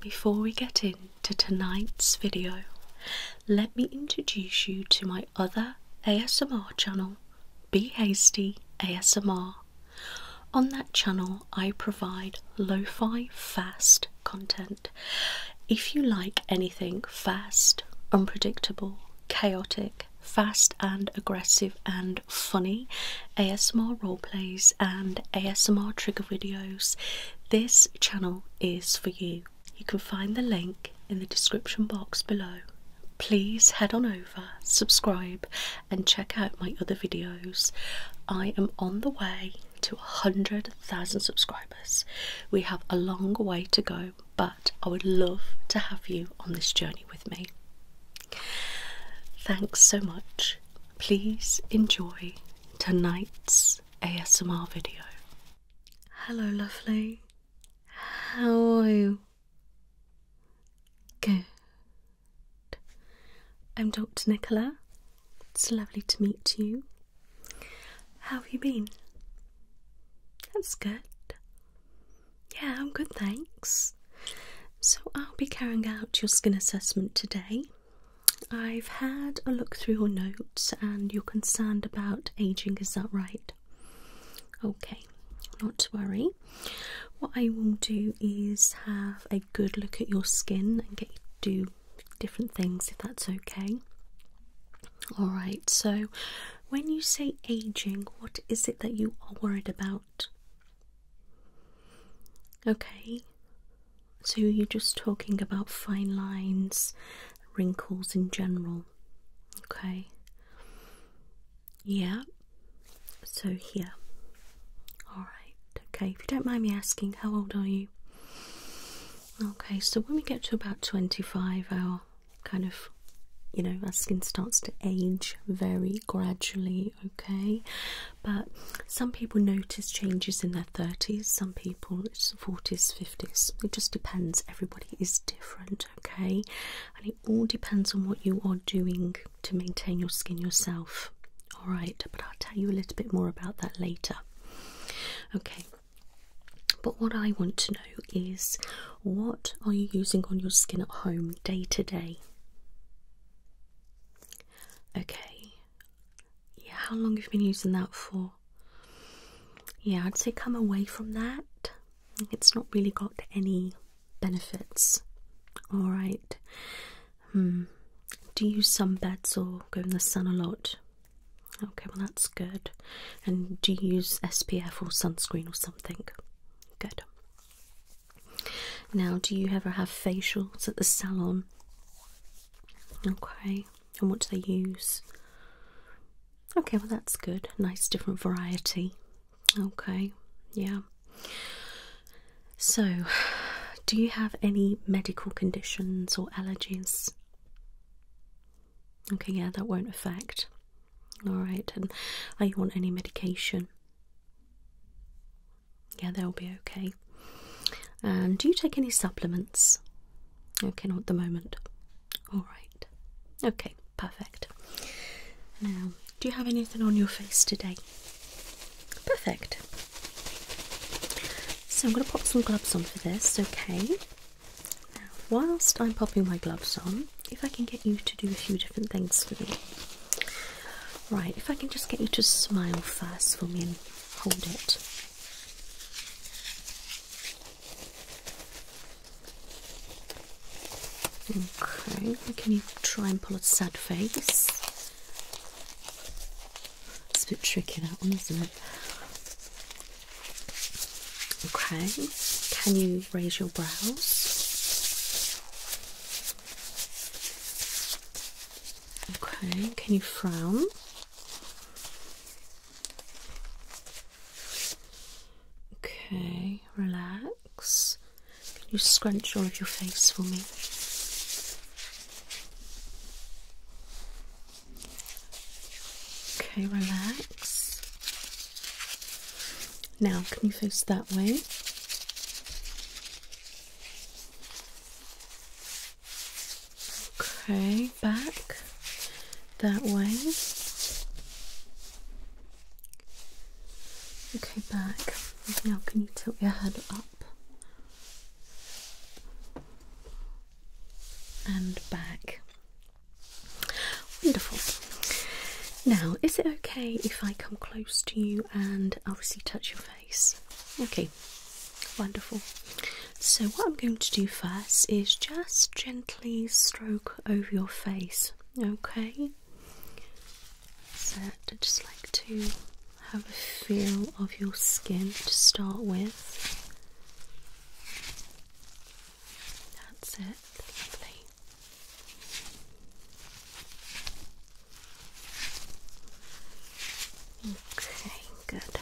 Before we get into tonight's video, let me introduce you to my other ASMR channel, Be Hasty ASMR. On that channel, I provide lo fi fast content if you like anything fast, unpredictable, chaotic, fast and aggressive and funny, ASMR roleplays and ASMR trigger videos, this channel is for you. You can find the link in the description box below. Please head on over, subscribe, and check out my other videos. I am on the way to 100,000 subscribers. We have a long way to go, but I would love to have you on this journey with me. Thanks so much. Please enjoy tonight's ASMR video. Hello, lovely. How are you? Good. I'm Dr. Nicola, it's lovely to meet you. How have you been? That's good. Yeah, I'm good, thanks. So, I'll be carrying out your skin assessment today. I've had a look through your notes and you're concerned about aging, is that right? Okay, not to worry. What I will do is have a good look at your skin and get you do different things if that's okay. Alright, so when you say aging, what is it that you are worried about? Okay, so you're just talking about fine lines, wrinkles in general. Okay, yeah, so here. Alright, okay, if you don't mind me asking, how old are you? Okay, so when we get to about 25, our kind of, you know, our skin starts to age very gradually, okay? But some people notice changes in their 30s, some people it's 40s, 50s. It just depends. Everybody is different, okay? And it all depends on what you are doing to maintain your skin yourself. Alright, but I'll tell you a little bit more about that later. Okay, but what I want to know is what are you using on your skin at home day to day? Okay. Yeah, how long have you been using that for? Yeah, I'd say come away from that. It's not really got any benefits. Alright. Hmm. Do you sunbeds or go in the sun a lot? Okay, well, that's good. And do you use SPF or sunscreen or something? Good. Now, do you ever have facials at the salon? Okay, and what do they use? Okay, well, that's good. Nice different variety. Okay, yeah. So, do you have any medical conditions or allergies? Okay, yeah, that won't affect. Alright, and are you on any medication? Yeah, they'll be okay. And do you take any supplements? Okay, not at the moment. Alright. Okay, perfect. Now, do you have anything on your face today? Perfect. So I'm going to pop some gloves on for this, okay? whilst I'm popping my gloves on, if I can get you to do a few different things for me. Right, if I can just get you to smile first for me and hold it. Okay, can you try and pull a sad face? It's a bit tricky that one, isn't it? Okay, can you raise your brows? Okay, can you frown? Okay, relax. Can you scrunch all of your face for me? Okay, relax. Now, can you face that way? Okay, back that way. Okay, back. Now, can you tilt your head up? and back. Wonderful. Now, is it okay if I come close to you and obviously touch your face? Okay, wonderful. So, what I'm going to do first is just gently stroke over your face, okay? So, I'd just like to have a feel of your skin to start with. That's it, lovely. Okay, good.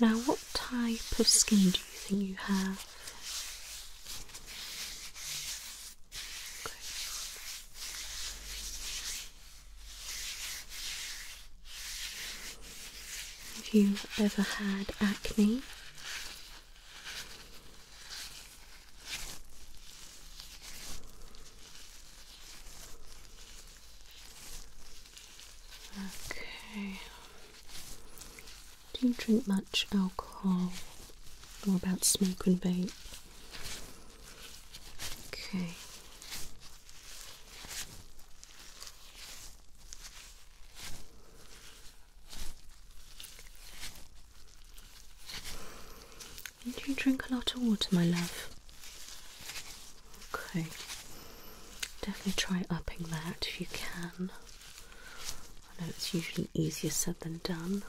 Now, what type of skin do you think you have? Have you ever had acne, okay, do you drink much alcohol or about smoke and vape? Okay. do you drink a lot of water, my love? Okay. Definitely try upping that if you can. I know it's usually easier said than done.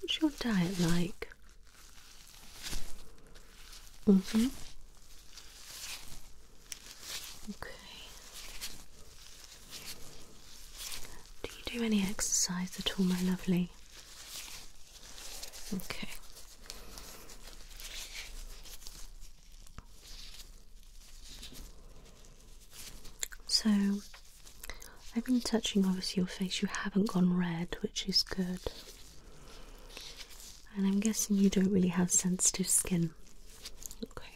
What's your diet like? Mm hmm. Okay. Do you do any exercise at all, my lovely? Okay. So, I've been touching obviously your face, you haven't gone red, which is good. And I'm guessing you don't really have sensitive skin. Okay.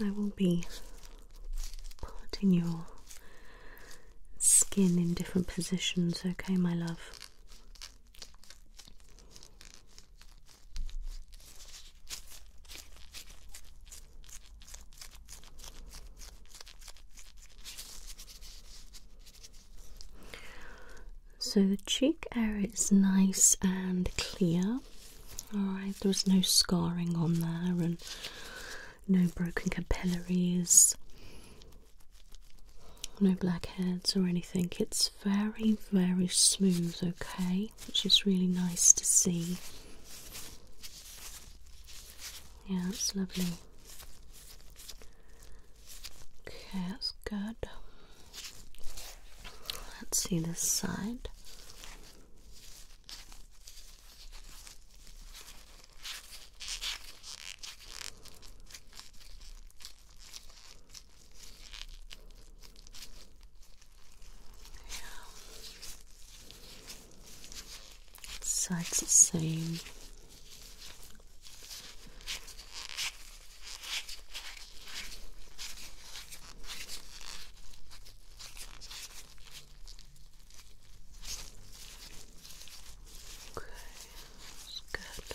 I will be putting your skin in different positions, okay, my love? So the cheek area is nice and clear. Alright, there's no scarring on there and no broken capillaries, no blackheads or anything. It's very, very smooth, okay, which is really nice to see. Yeah, that's lovely. Okay, that's good. Let's see this side it's the same. Okay, good.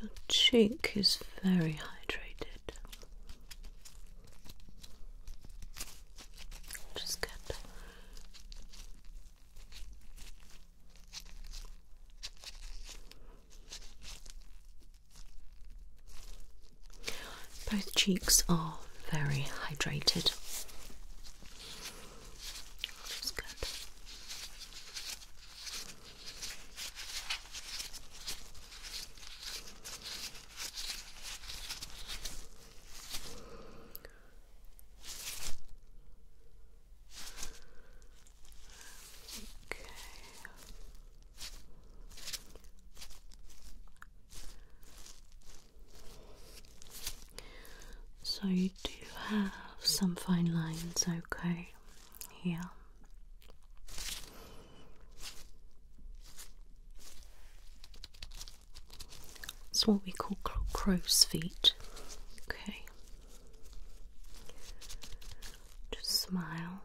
Your cheek is very hydrated. Just get both cheeks are very hydrated. Okay. So you do have some fine lines, okay, here. It's what we call crow's feet. Okay. Just smile.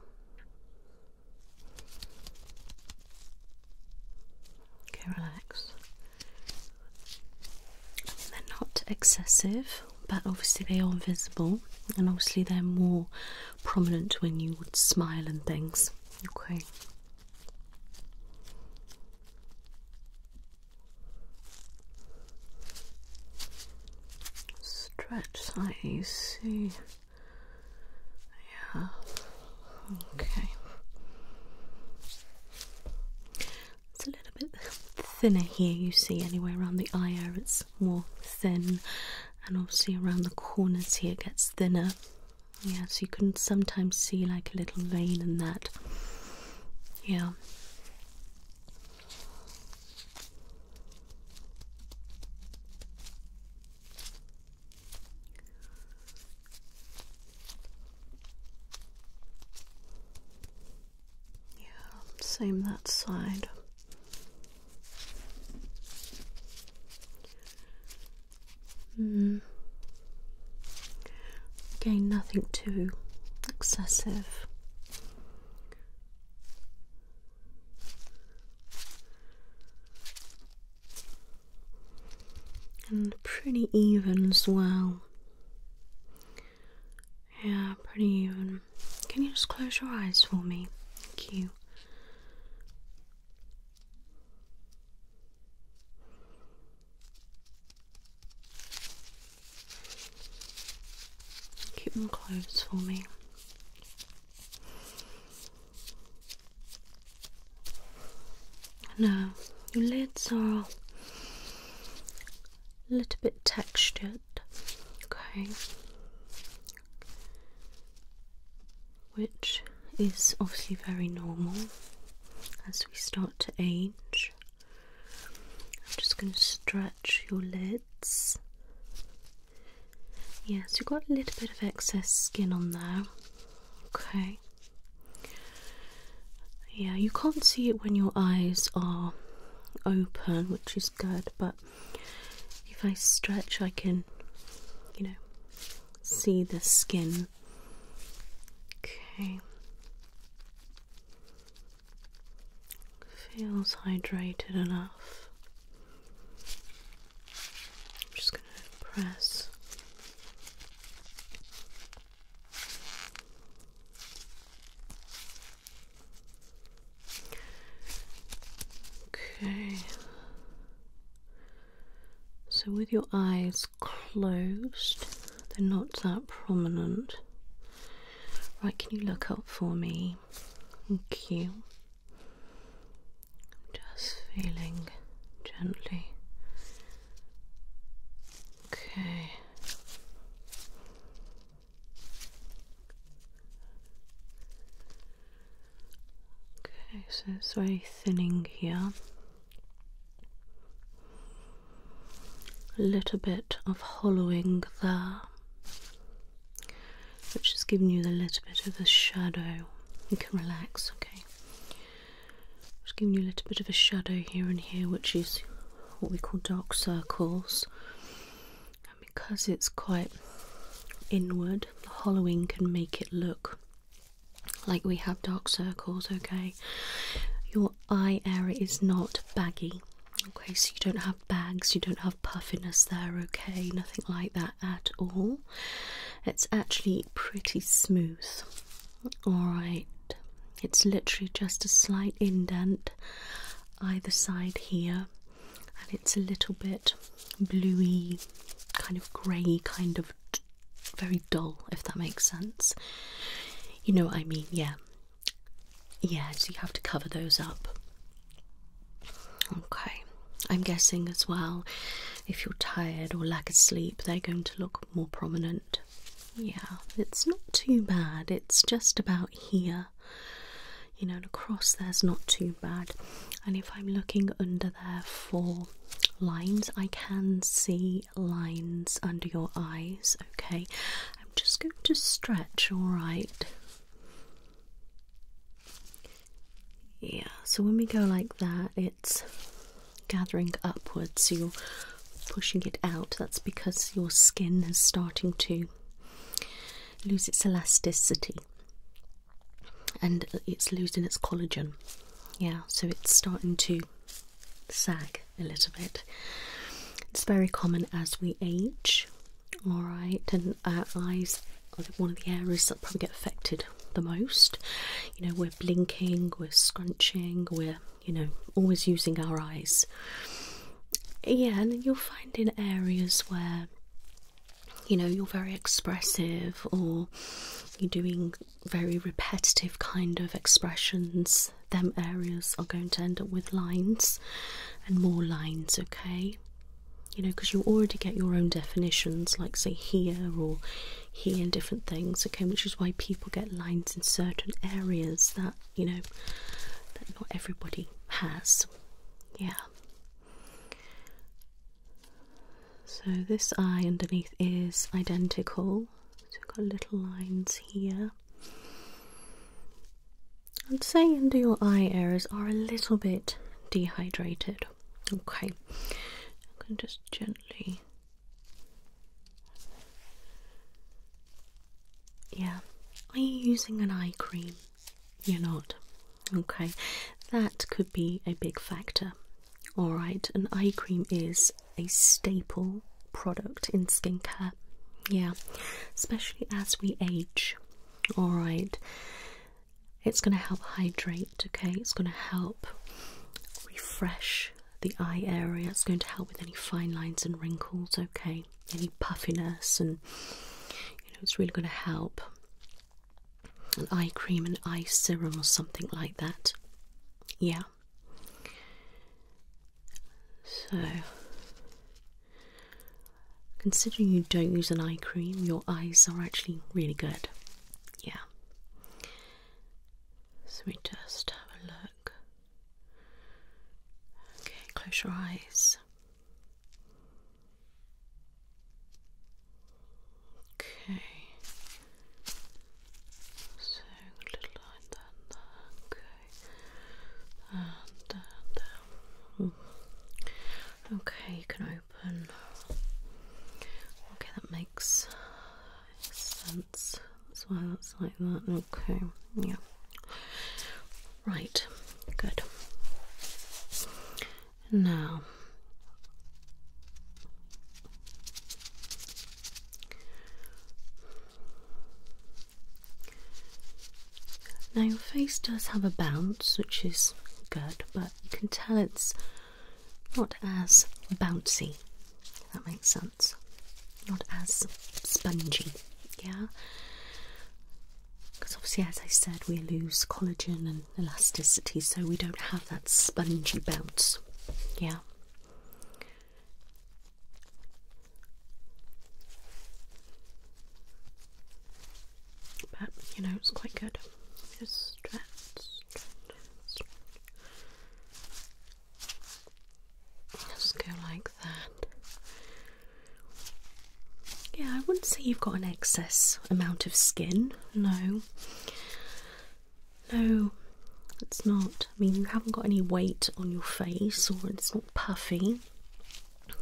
Okay, relax. they're not excessive, but obviously they are visible, and obviously they're more prominent when you would smile and things. Okay. Stretch, I see. Yeah. Okay. It's a little bit thinner here, you see, anyway, around the eye area it's more thin, and obviously around the corners here it gets thinner. Yeah, so you can sometimes see like a little vein in that. Yeah. Yeah, same that side. Hmm. Again, nothing too excessive and pretty even as well. Yeah, pretty even. Can you just close your eyes for me? Thank you. Keep them closed for me. Now, your lids are a little bit textured, okay, which is obviously very normal as we start to age. I'm just going to stretch your lids Yes, you've got a little bit of excess skin on there. Okay. Yeah, you can't see it when your eyes are open, which is good, but if I stretch, I can, you know, see the skin. Okay. Feels hydrated enough. I'm just going to press. Okay. So, with your eyes closed, they're not that prominent. Right, can you look up for me? Thank you. Just feeling gently. Okay. Okay, so it's very thinning here. A little bit of hollowing there which has giving you a little bit of a shadow. You can relax, okay? Just giving you a little bit of a shadow here and here, which is what we call dark circles. And because it's quite inward, the hollowing can make it look like we have dark circles, okay? Your eye area is not baggy, okay? So you don't have bags, you don't have puffiness there, okay? Nothing like that at all. It's actually pretty smooth. Alright, it's literally just a slight indent either side here, and it's a little bit bluey, kind of grey, kind of very dull, if that makes sense. You know what I mean? Yeah. Yeah, so you have to cover those up. Okay, I'm guessing as well if you're tired or lack of sleep, they're going to look more prominent. Yeah, it's not too bad, it's just about here. You know, across there's not too bad, and if I'm looking under there for lines, I can see lines under your eyes. Okay, I'm just going to stretch, all right. Yeah, so when we go like that, it's gathering upwards, so you're pushing it out. That's because your skin is starting to lose its elasticity and it's losing its collagen. Yeah, so it's starting to sag a little bit. It's very common as we age, all right, our uh, eyes are one of the areas that probably get affected the most. You know, we're blinking, we're scrunching, we're, you know, always using our eyes. Yeah, and you'll find in areas where you know you're very expressive or you're doing very repetitive kind of expressions them areas are going to end up with lines and more lines okay you know, because you already get your own definitions, like say here or here and different things, okay, which is why people get lines in certain areas that, you know, that not everybody has. Yeah. So this eye underneath is identical. So we've got little lines here. I'd say under your eye areas are a little bit dehydrated. Okay, i can just gently. Yeah, are you using an eye cream? You're not. Okay, that could be a big factor. Alright, an eye cream is a staple product in skincare. Yeah, especially as we age. Alright, it's going to help hydrate, okay? It's going to help refresh the eye area. It's going to help with any fine lines and wrinkles, okay? Any puffiness, and you know, it's really going to help. An eye cream, an eye serum, or something like that. Yeah. So Considering you don't use an eye cream, your eyes are actually really good. Yeah. So we just have a look. Okay, close your eyes. Okay. Hmm. Okay. you can open. Okay, that makes sense. That's why that's like that. Okay, yeah. Right, good. Now, now your face does have a bounce, which is good, but you can tell it's not as bouncy, if that makes sense. Not as spongy, yeah? Because obviously, as I said, we lose collagen and elasticity, so we don't have that spongy bounce, yeah? But you know, it's quite good. Just stretch, Just go like that. Yeah, I wouldn't say you've got an excess amount of skin. No. No, it's not. I mean, you haven't got any weight on your face or it's not puffy.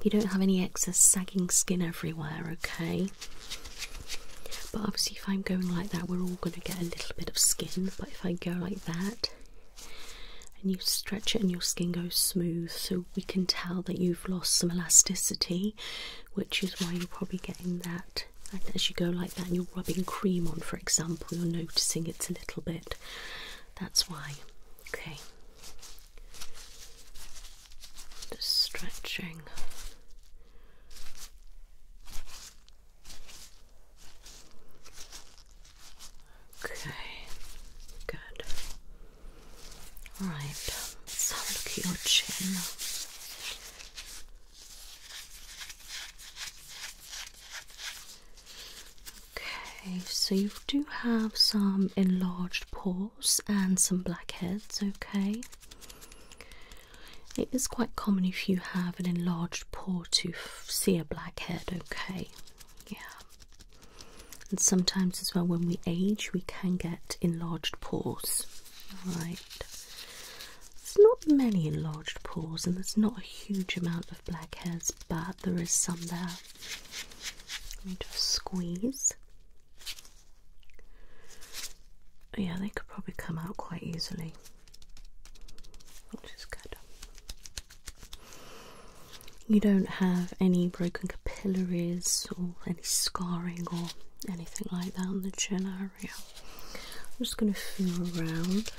You don't have any excess sagging skin everywhere, okay? But obviously, if I'm going like that, we're all going to get a little bit of skin. But if I go like that, and you stretch it, and your skin goes smooth, so we can tell that you've lost some elasticity, which is why you're probably getting that. as you go like that, and you're rubbing cream on, for example, you're noticing it's a little bit. That's why. Okay. Just stretching. Okay, good. All right, let's have a look at your chin. Okay, so you do have some enlarged pores and some blackheads, okay? It is quite common if you have an enlarged pore to see a blackhead, okay? Yeah. And sometimes as well when we age we can get enlarged pores. Right, There's not many enlarged pores and there's not a huge amount of blackheads, but there is some there. Let me just squeeze. Yeah, they could probably come out quite easily, which is good. You don't have any broken capillaries or any scarring or anything like that in the chin area. I'm just going to feel around.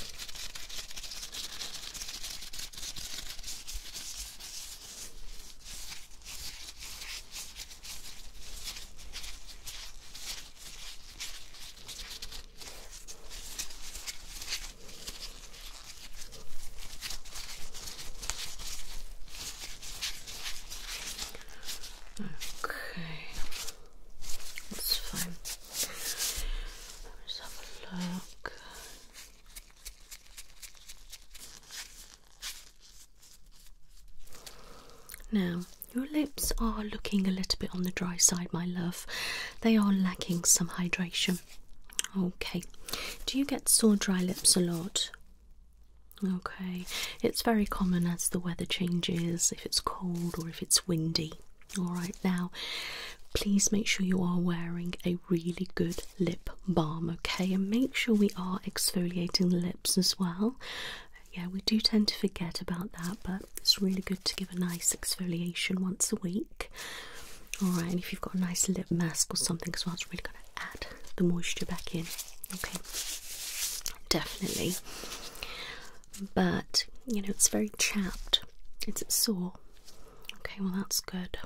Okay, that's fine. Let's have a look. Now, your lips are looking a little bit on the dry side, my love. They are lacking some hydration. Okay. Do you get sore dry lips a lot? Okay. It's very common as the weather changes, if it's cold or if it's windy. Alright, now please make sure you are wearing a really good lip balm, okay? And make sure we are exfoliating the lips as well. Yeah, we do tend to forget about that, but it's really good to give a nice exfoliation once a week. Alright, and if you've got a nice lip mask or something as well, it's really going to add the moisture back in. Okay, definitely. But, you know, it's very chapped. It's sore. Okay, well, that's good.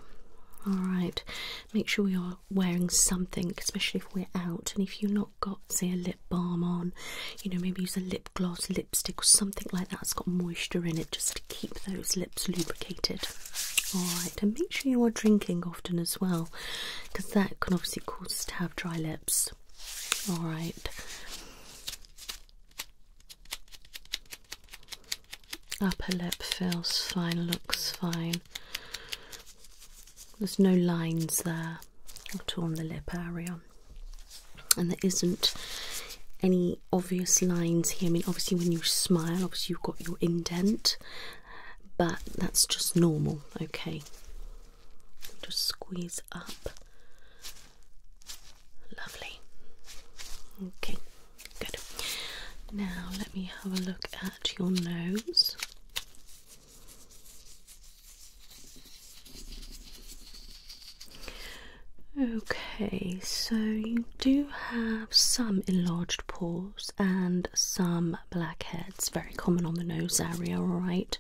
Alright, make sure we your wearing something, especially if we're out, and if you've not got, say, a lip balm on, you know, maybe use a lip gloss, lipstick, or something like that that's got moisture in it just to keep those lips lubricated. Alright, and make sure you are drinking often as well, because that can obviously cause to have dry lips. Alright. Upper lip feels fine, looks fine. There's no lines there at on the lip area, and there isn't any obvious lines here. I mean, obviously, when you smile, obviously, you've got your indent, but that's just normal, okay. Just squeeze up. Lovely. Okay, good. Now, let me have a look at your nose. Okay, so you do have some enlarged pores and some blackheads, very common on the nose area, alright.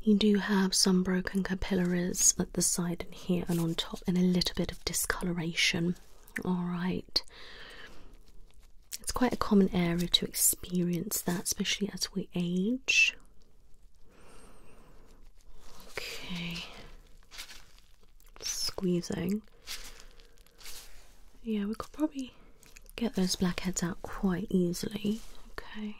You do have some broken capillaries at the side and here and on top, and a little bit of discoloration, alright it's quite a common area to experience that, especially as we age. Okay, squeezing. Yeah, we could probably get those blackheads out quite easily. Okay.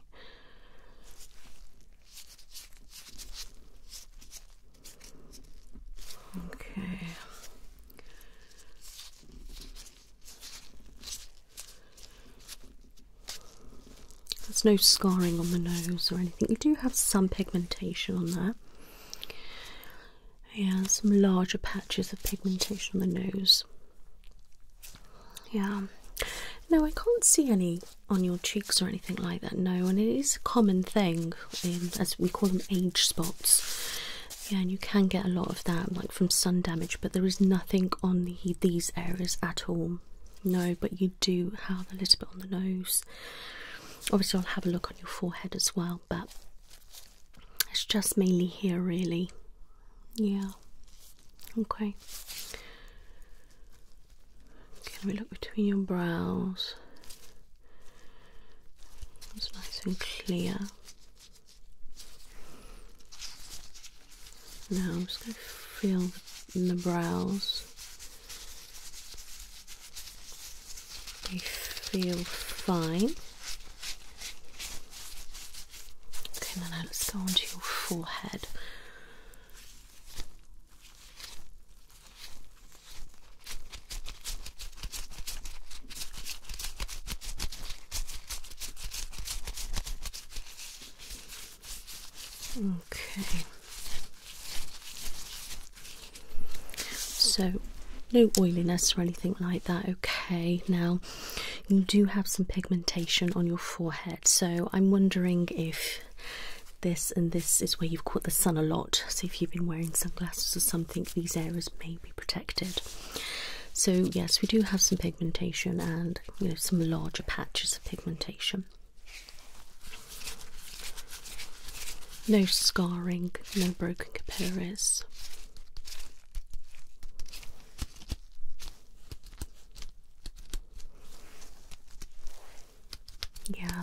Okay. There's no scarring on the nose or anything. You do have some pigmentation on there. Yeah, some larger patches of pigmentation on the nose. Yeah. No, I can't see any on your cheeks or anything like that, no, and it is a common thing, as we call them age spots. Yeah, and you can get a lot of that, like from sun damage, but there is nothing on the, these areas at all. No, but you do have a little bit on the nose. Obviously, I'll have a look on your forehead as well, but it's just mainly here, really. Yeah. Okay. Can we look between your brows? It's nice and clear. Now I'm just going to feel in the brows. They feel fine. Okay, now let's go onto your forehead. Okay. So, no oiliness or anything like that. Okay. Now, you do have some pigmentation on your forehead, so I'm wondering if this and this is where you've caught the sun a lot. So, if you've been wearing sunglasses or something, these areas may be protected. So yes, we do have some pigmentation and you know some larger patches of pigmentation. No scarring, no broken capillaries. Yeah,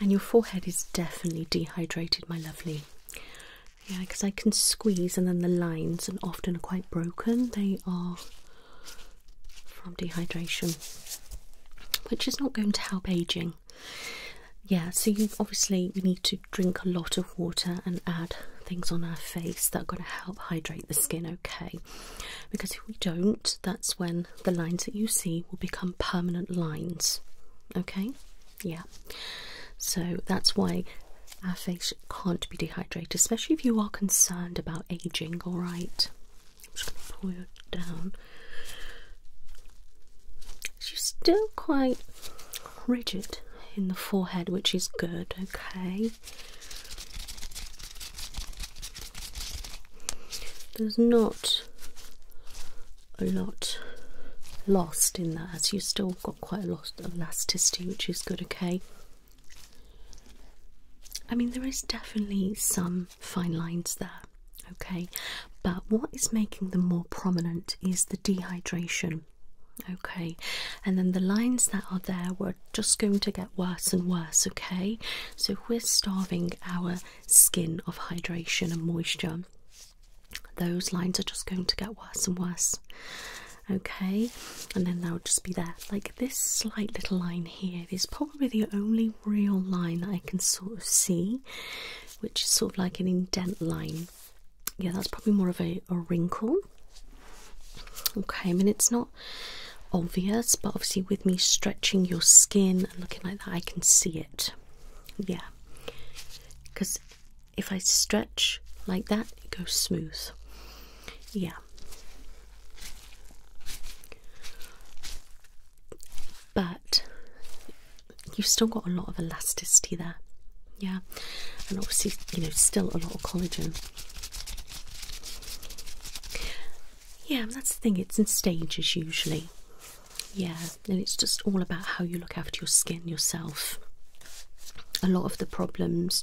and your forehead is definitely dehydrated, my lovely. Yeah, because I can squeeze, and then the lines, and often are quite broken. They are from dehydration, which is not going to help aging. Yeah, so you obviously we need to drink a lot of water and add things on our face that are going to help hydrate the skin. Okay, because if we don't, that's when the lines that you see will become permanent lines. Okay, yeah. So that's why our face can't be dehydrated, especially if you are concerned about aging, alright? just pull you down. She's still quite rigid in the forehead, which is good, okay? There's not a lot lost in that So you have still got quite a lot of elasticity which is good okay I mean there is definitely some fine lines there okay but what is making them more prominent is the dehydration okay and then the lines that are there were just going to get worse and worse okay so we're starving our skin of hydration and moisture those lines are just going to get worse and worse. Okay, and then they'll just be there. Like this slight little line here is probably the only real line I can sort of see, which is sort of like an indent line. Yeah, that's probably more of a wrinkle. Okay, I mean, it's not obvious, but obviously, with me stretching your skin and looking like that, I can see it. Yeah, because if I stretch like that, it goes smooth. Yeah. But you've still got a lot of elasticity there. Yeah. And obviously, you know, still a lot of collagen. Yeah, that's the thing, it's in stages usually. Yeah, and it's just all about how you look after your skin yourself. A lot of the problems,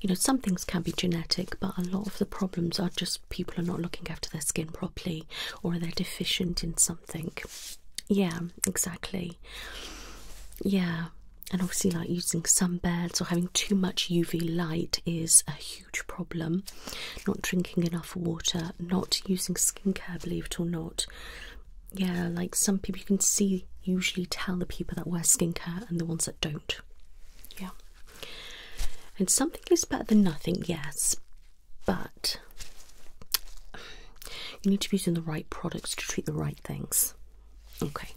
you know, some things can be genetic, but a lot of the problems are just people are not looking after their skin properly or they're deficient in something. Yeah, exactly. Yeah, and obviously, like using sunbeds or having too much UV light is a huge problem. Not drinking enough water, not using skincare, believe it or not, yeah, like some people you can see usually tell the people that wear skincare and the ones that don't. Yeah. And something is better than nothing, yes, but you need to be using the right products to treat the right things. Okay.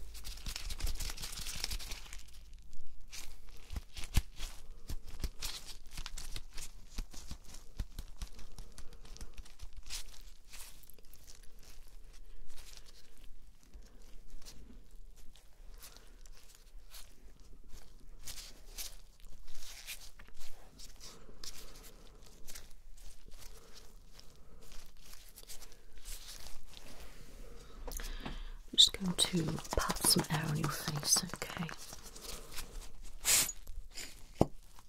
I'm just going to pat some air on your face, okay?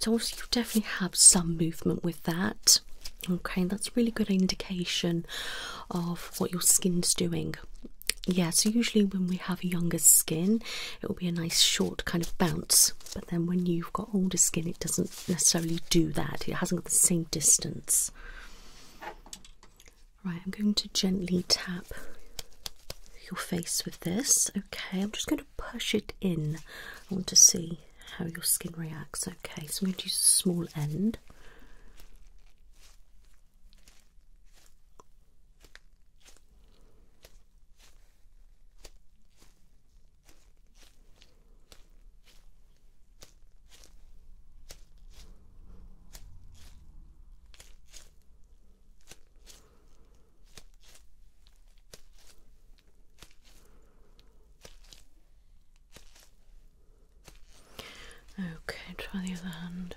So obviously you definitely have some movement with that. Okay, that's a really good indication of what your skin's doing. Yeah, so usually when we have younger skin, it will be a nice short kind of bounce. But then when you've got older skin, it doesn't necessarily do that. It hasn't got the same distance. Right, I'm going to gently tap your face with this. Okay, I'm just going to push it in. I want to see how your skin reacts. Okay, so I'm going to use a small end. Okay, try the other hand.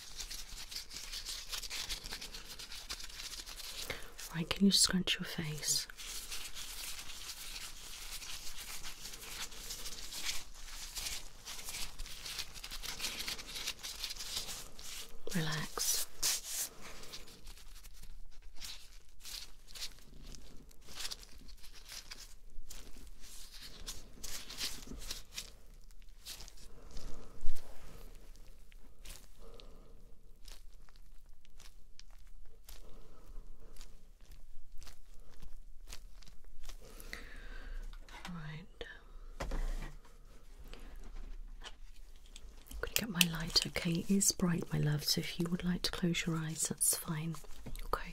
Why can you scrunch your face? Relax. Right. Um, I'm going to get my light, okay? It is bright, my love, so if you would like to close your eyes, that's fine, okay?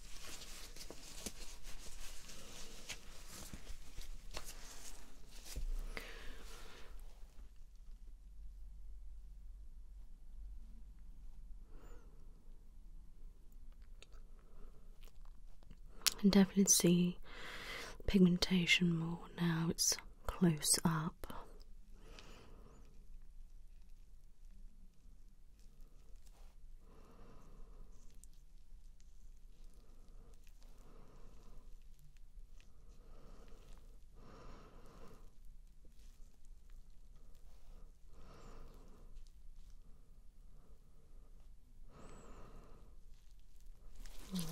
I can definitely see pigmentation more now, it's close up.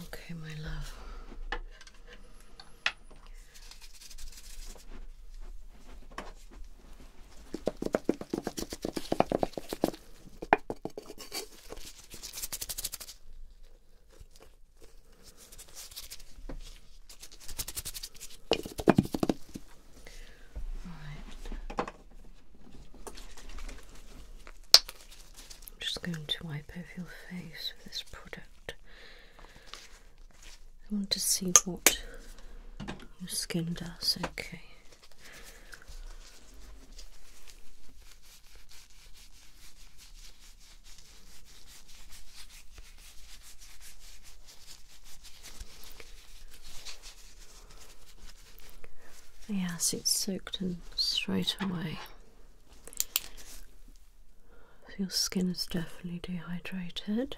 Okay, my love. I'm just going to wipe over your face with this product. I want to see what your skin does. Okay. Yes, it's soaked in straight away. Your skin is definitely dehydrated.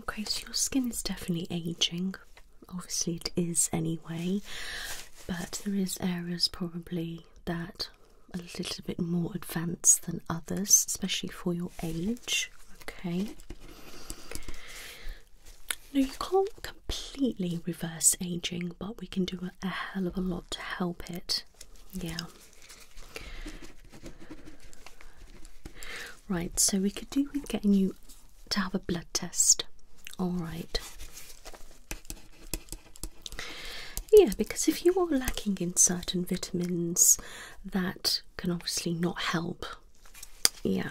Okay, so your skin is definitely aging. Obviously, it is anyway, but there is areas probably that a little bit more advanced than others, especially for your age. Okay. Now, you can't completely reverse aging, but we can do a, hell of a lot to help it. Yeah. Right, so we could do with getting you to have a blood test. All right. Yeah, because if you are lacking in certain vitamins, that can obviously not help. Yeah.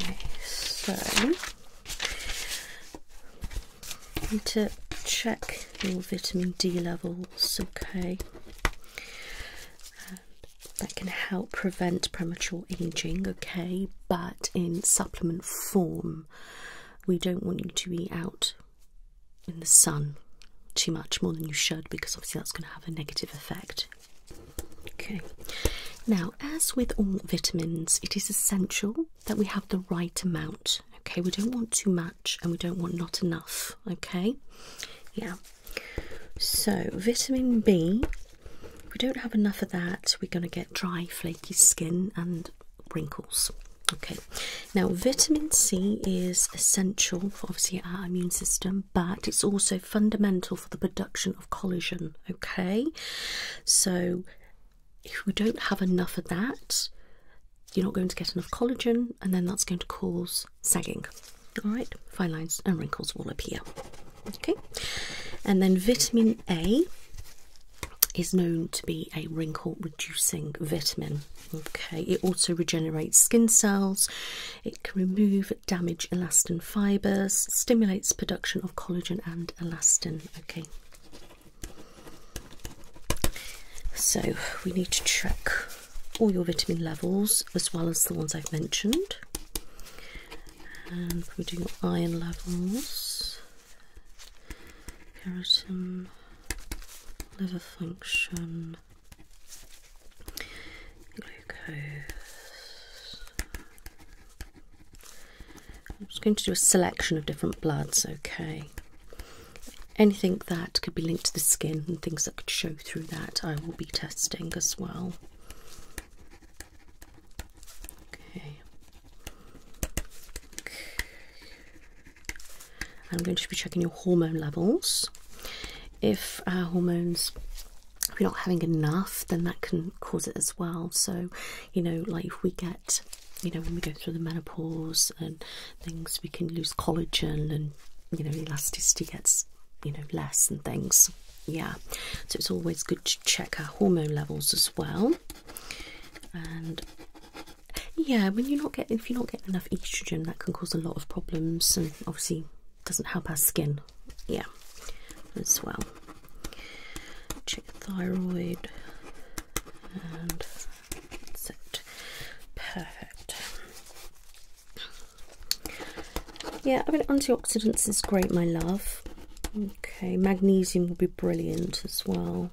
Okay, so need to check your vitamin D levels, okay? Um, that can help prevent premature aging, okay? But in supplement form, we don't want you to be out in the sun too much, more than you should, because obviously that's going to have a negative effect. Okay, now, as with all vitamins, it is essential that we have the right amount. Okay, we don't want too much and we don't want not enough. Okay, yeah. So, vitamin B, we don't have enough of that, we're going to get dry, flaky skin and wrinkles. Okay, now vitamin C is essential for obviously our immune system, but it's also fundamental for the production of collagen. Okay, so if we don't have enough of that, you're not going to get enough collagen, and then that's going to cause sagging. All right, fine lines and wrinkles will appear. Okay, and then vitamin A is known to be a wrinkle reducing vitamin. Okay, it also regenerates skin cells, it can remove damaged elastin fibers, stimulates production of collagen and elastin. Okay. So we need to check all your vitamin levels as well as the ones I've mentioned. And we do iron levels, keratin, liver function, glucose. I'm just going to do a selection of different bloods, okay? Anything that could be linked to the skin and things that could show through that, I will be testing as well. Okay. I'm going to be checking your hormone levels. If our hormones, if we're not having enough, then that can cause it as well. So, you know, like if we get, you know, when we go through the menopause and things, we can lose collagen and, you know, elasticity gets, you know, less and things. Yeah. So it's always good to check our hormone levels as well. And yeah, when you're not getting if you're not getting enough estrogen, that can cause a lot of problems, and obviously doesn't help our skin. Yeah, as well. Check thyroid, and that's it. Perfect. Yeah, I mean antioxidants is great, my love. Okay, magnesium will be brilliant as well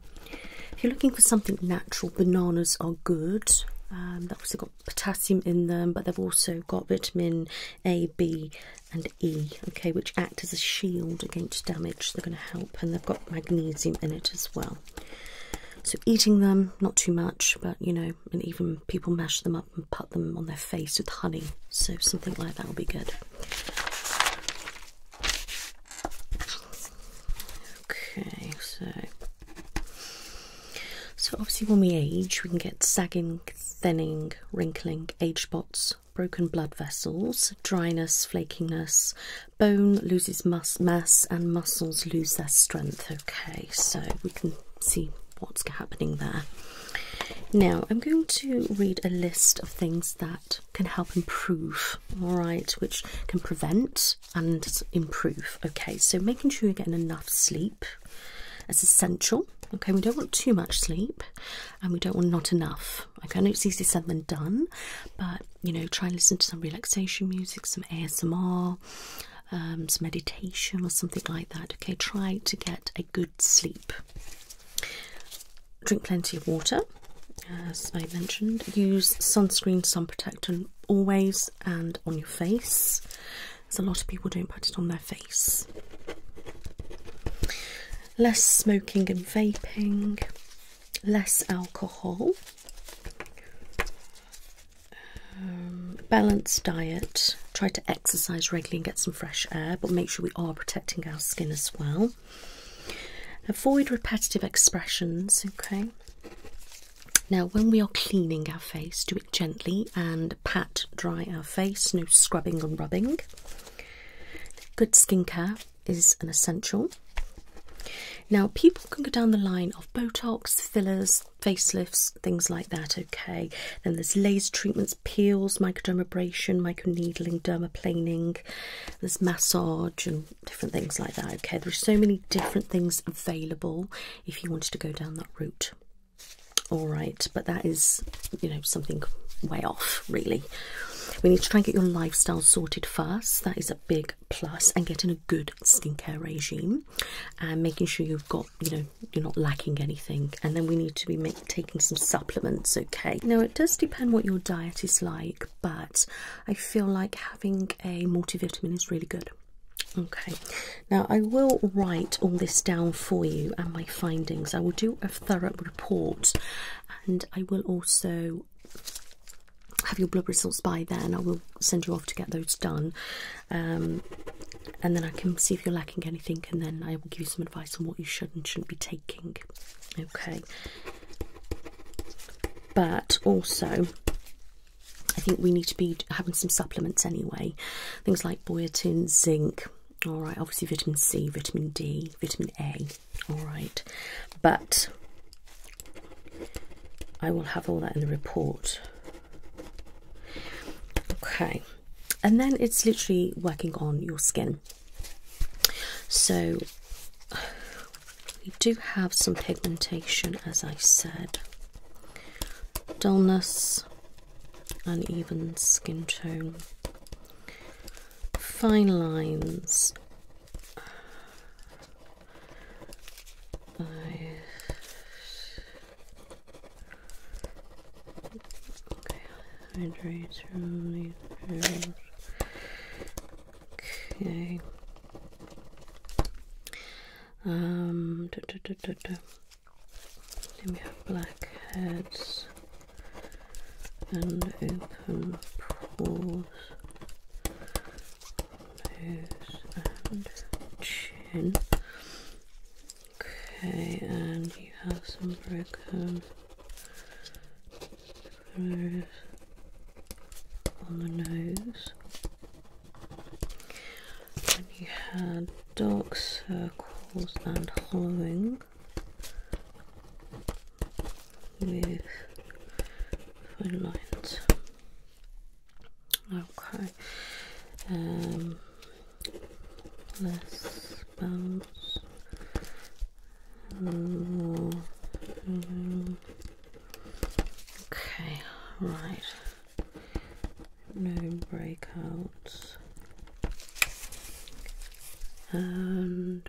if you're looking for something natural, bananas are good. Um, they've also got potassium in them, but they've also got vitamin A, B, and E, okay, which act as a shield against damage. They're going to help, and they've got magnesium in it as well. So eating them, not too much, but you know, and even people mash them up and put them on their face with honey. So something like that will be good. Okay, so so obviously when we age, we can get sagging, thinning, wrinkling, age spots, broken blood vessels, dryness, flakiness, bone loses mass, and muscles lose their strength. Okay, so we can see what's happening there. Now, I'm going to read a list of things that can help improve, all right, which can prevent and improve. Okay, so making sure you're getting enough sleep is essential. Okay, we don't want too much sleep and we don't want not enough. Okay, I know it's easier said than done, but you know, try and listen to some relaxation music, some ASMR, um, some meditation or something like that. Okay, try to get a good sleep. Drink plenty of water as I mentioned, use sunscreen, sun protectant always and on your face, There's a lot of people don't put it on their face. Less smoking and vaping, less alcohol, um, balanced diet, try to exercise regularly and get some fresh air, but make sure we are protecting our skin as well. Avoid repetitive expressions, okay? Now, when we are cleaning our face, do it gently and pat dry our face, no scrubbing and rubbing. Good skincare is an essential. Now, people can go down the line of Botox, fillers, facelifts, things like that, okay? Then there's laser treatments, peels, microdermabrasion, microneedling, dermaplaning, there's massage and different things like that. Okay, there's so many different things available if you wanted to go down that route. All right, but that is, you know, something way off, really. We need to try and get your lifestyle sorted first. That is a big plus, and getting a good skincare regime, and making sure you've got, you know, you're not lacking anything. And then we need to be taking some supplements. Okay. Now it does depend what your diet is like, but I feel like having a multivitamin is really good. Okay, now I will write all this down for you and my findings. I will do a thorough report and I will also have your blood results by then. I will send you off to get those done um, and then I can see if you're lacking anything and then I will give you some advice on what you should and shouldn't be taking. Okay, but also, I think we need to be having some supplements anyway. Things like biotin, zinc, all right, obviously vitamin C, vitamin D, vitamin A, all right. But I will have all that in the report. Okay, and then it's literally working on your skin. So we do have some pigmentation, as I said, dullness, uneven skin tone, fine lines. Uh, okay. Okay. Um, da, da, have black heads and open pores, nose and chin. Okay, and you have some broken through on the nose. And you had dark circles and hollowing with fine lines. Okay. Um, Let's bounce. More, mm, Okay, right. No breakouts. And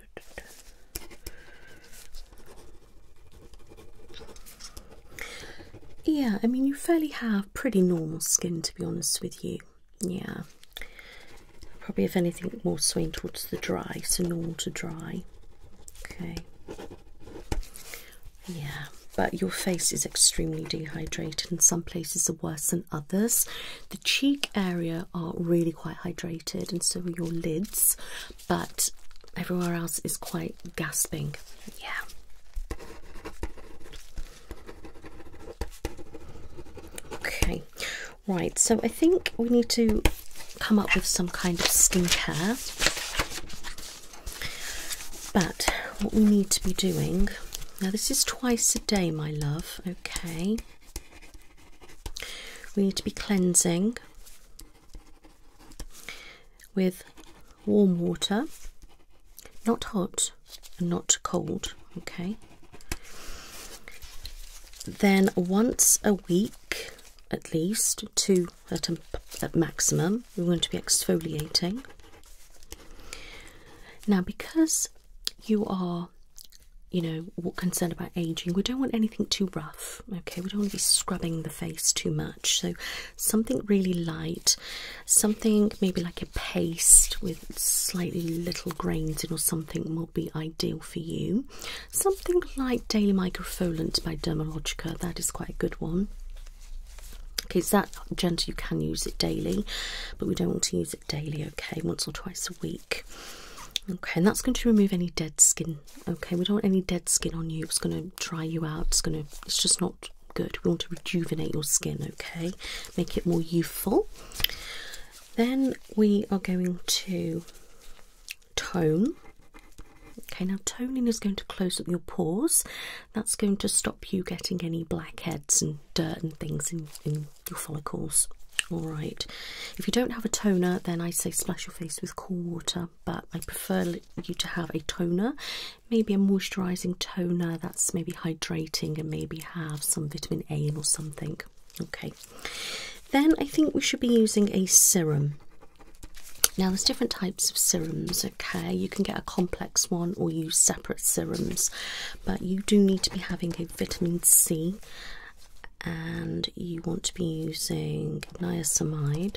yeah, I mean, you fairly have pretty normal skin to be honest with you. Yeah, probably if anything, more swaying towards the dry, so normal to dry. Okay. Yeah, but your face is extremely dehydrated, and some places are worse than others. The cheek area are really quite hydrated, and so are your lids, but everywhere else is quite gasping. Yeah. Okay, right, so I think we need to come up with some kind of skincare. But what we need to be doing now, this is twice a day, my love. Okay, we need to be cleansing with warm water, not hot and not cold. Okay, then once a week at least to at, a, maximum. We're going to be exfoliating. Now, because you are, you know, concerned about aging, we don't want anything too rough, okay? We don't want to be scrubbing the face too much. So, something really light, something maybe like a paste with slightly little grains in or something will be ideal for you something like Daily Microfoliant by Dermologica. That is quite a good one. Okay, it's that gentle, you can use it daily, but we don't want to use it daily, okay, once or twice a week. Okay, and that's going to remove any dead skin. Okay, we don't want any dead skin on you. It's going to dry you out. It's going to, it's just not good. We want to rejuvenate your skin, okay, make it more youthful. Then we are going to tone. Okay, now toning is going to close up your pores. That's going to stop you getting any blackheads and dirt and things in, your follicles. Alright, if you don't have a toner, then I say splash your face with cool water, but I prefer you to have a toner, maybe a moisturising toner that's maybe hydrating and maybe have some vitamin A or something. Okay, then I think we should be using a serum. Now, there's different types of serums, okay? You can get a complex one or use separate serums, but you do need to be having a vitamin C and you want to be using niacinamide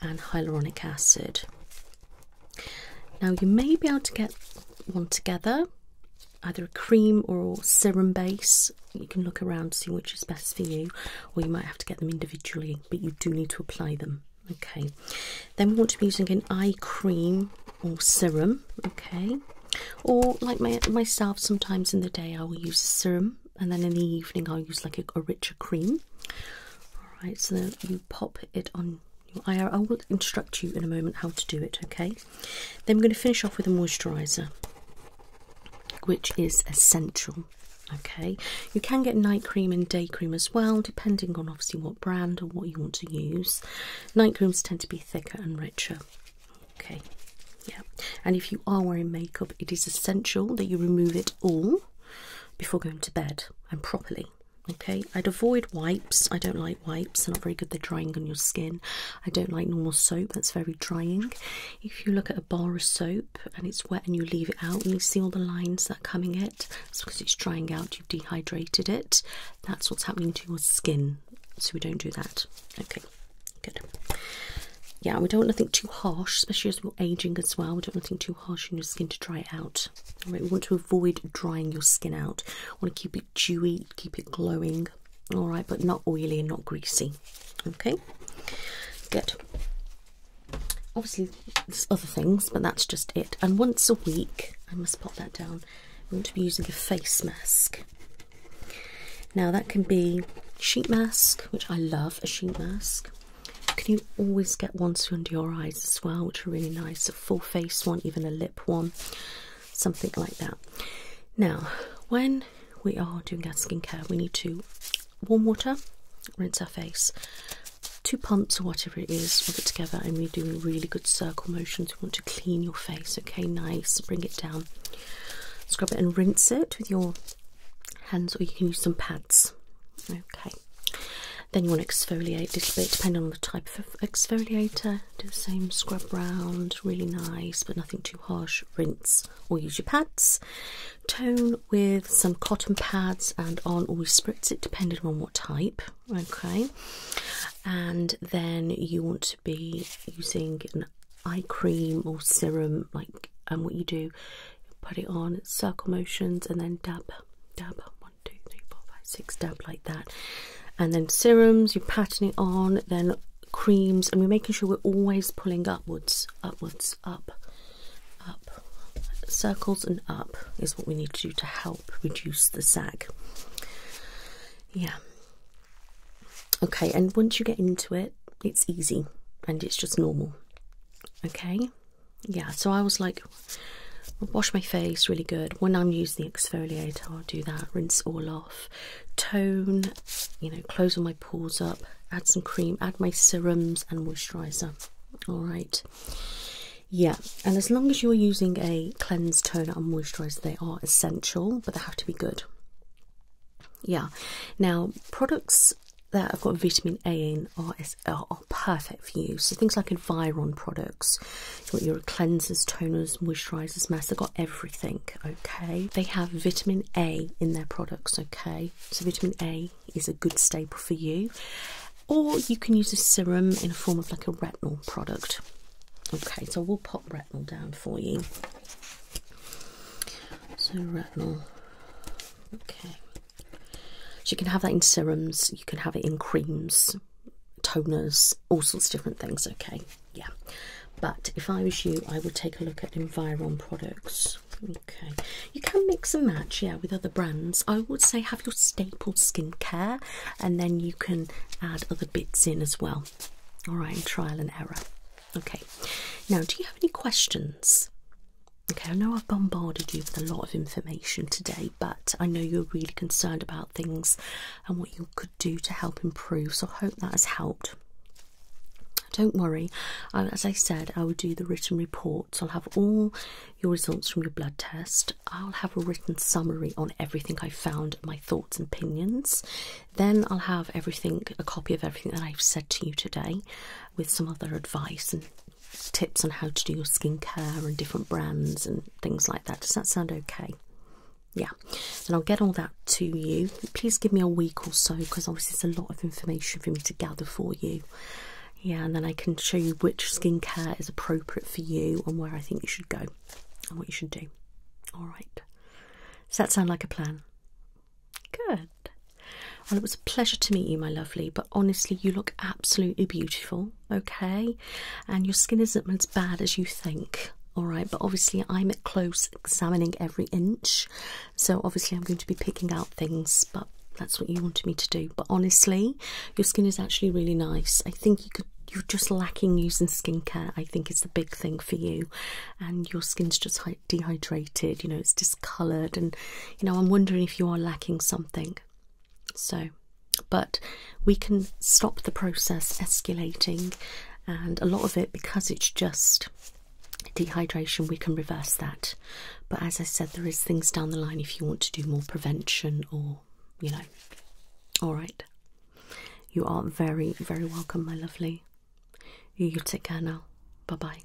and hyaluronic acid. Now, you may be able to get one together, either a cream or serum base, you can look around to see which is best for you, or you might have to get them individually, but you do need to apply them. Okay, then we want to be using an eye cream or serum. Okay, or like my, myself, sometimes in the day I will use a serum, and then in the evening I'll use like a, richer cream. All right, so you pop it on. your eye. I will instruct you in a moment how to do it. Okay, then we're going to finish off with a moisturizer which is essential. Okay, you can get night cream and day cream as well, depending on obviously what brand or what you want to use. Night creams tend to be thicker and richer. Okay, yeah, and if you are wearing makeup, it is essential that you remove it all before going to bed and properly. Okay, I'd avoid wipes. I don't like wipes, they're not very good, they're drying on your skin. I don't like normal soap, that's very drying if you look at a bar of soap and it's wet and you leave it out and you see all the lines that are coming it, it's because it's drying out, you've dehydrated it. That's what's happening to your skin. So we don't do that. Okay, good. Yeah, we don't want nothing too harsh, especially as we're aging as well. We don't want nothing too harsh on your skin to dry it out. All right, we want to avoid drying your skin out. We want to keep it dewy, keep it glowing all right, but not oily and not greasy. Okay, good. Obviously, there's other things, but that's just it. And once a week, I must pop that down. I'm going to be using a face mask. Now that can be sheet mask, which I love a sheet mask. Can you always get ones for under your eyes as well, which are really nice. A full face one, even a lip one, something like that. Now, when we are doing our skincare, we need to warm water, rinse our face, two pumps or whatever it is, put it together, and we're doing really good circle motions. We want to clean your face, okay? Nice, bring it down, scrub it, and rinse it with your hands, or you can use some pads, okay? Then you want to exfoliate a little bit, depending on the type of exfoliator. Do the same, scrub round, really nice, but nothing too harsh. Rinse or use your pads. Tone with some cotton pads and on or spritz it depending on what type. Okay, and then you want to be using an eye cream or serum, like and um, what you do, put it on circle motions and then dab, dab one, two, three, four, five, six, dab like that. And then serums, you patting it on, then creams and we're making sure we're always pulling upwards, upwards, up, up. Circles and up is what we need to do to help reduce the sag. Yeah. Okay, and once you get into it, it's easy and it's just normal. Okay? Yeah, so I was like, wash my face really good. When I'm using the exfoliator, I'll do that, rinse all off, tone, you know, close on my pores up, add some cream, add my serums and moisturizer. All right, yeah, and as long as you're using a cleanse, toner, and moisturizer, they are essential, but they have to be good. Yeah, now products that have got vitamin A in are, are, perfect for you. So things like Environ products, so your cleansers, toners, moisturizers, masks, they've got everything, okay? They have vitamin A in their products, okay? So, vitamin A is a good staple for you, or you can use a serum in a form of like a retinol product, okay? So, we'll pop retinol down for you. So, retinol, okay. So, you can have that in serums, you can have it in creams, toners, all sorts of different things, okay? yeah but if i was you i would take a look at environ products okay you can mix and match yeah with other brands i would say have your staple skincare and then you can add other bits in as well all right trial and error okay now do you have any questions okay i know i've bombarded you with a lot of information today but i know you're really concerned about things and what you could do to help improve so i hope that has helped don't worry, as I said, I will do the written reports. I'll have all your results from your blood test. I'll have a written summary on everything I found, my thoughts and opinions. Then I'll have everything, a copy of everything that I've said to you today, with some other advice and tips on how to do your skincare and different brands and things like that. Does that sound okay? Yeah, and I'll get all that to you. Please give me a week or so because obviously it's a lot of information for me to gather for you. Yeah, and then I can show you which skincare is appropriate for you and where I think you should go and what you should do. All right. Does that sound like a plan? Good. Well, it was a pleasure to meet you, my lovely, but honestly, you look absolutely beautiful, okay? And your skin isn't as bad as you think, all right? But obviously, I'm at close examining every inch, so obviously I'm going to be picking out things, but that's what you wanted me to do. But honestly, your skin is actually really nice. I think you could you're just lacking using skincare, I think is the big thing for you. And your skin's just dehydrated, you know, it's discoloured. And, you know, I'm wondering if you are lacking something. So, but we can stop the process escalating. And a lot of it, because it's just dehydration, we can reverse that. But as I said, there is things down the line if you want to do more prevention or, you know. All right. You are very, very welcome, my lovely. You, take care now. Bye bye.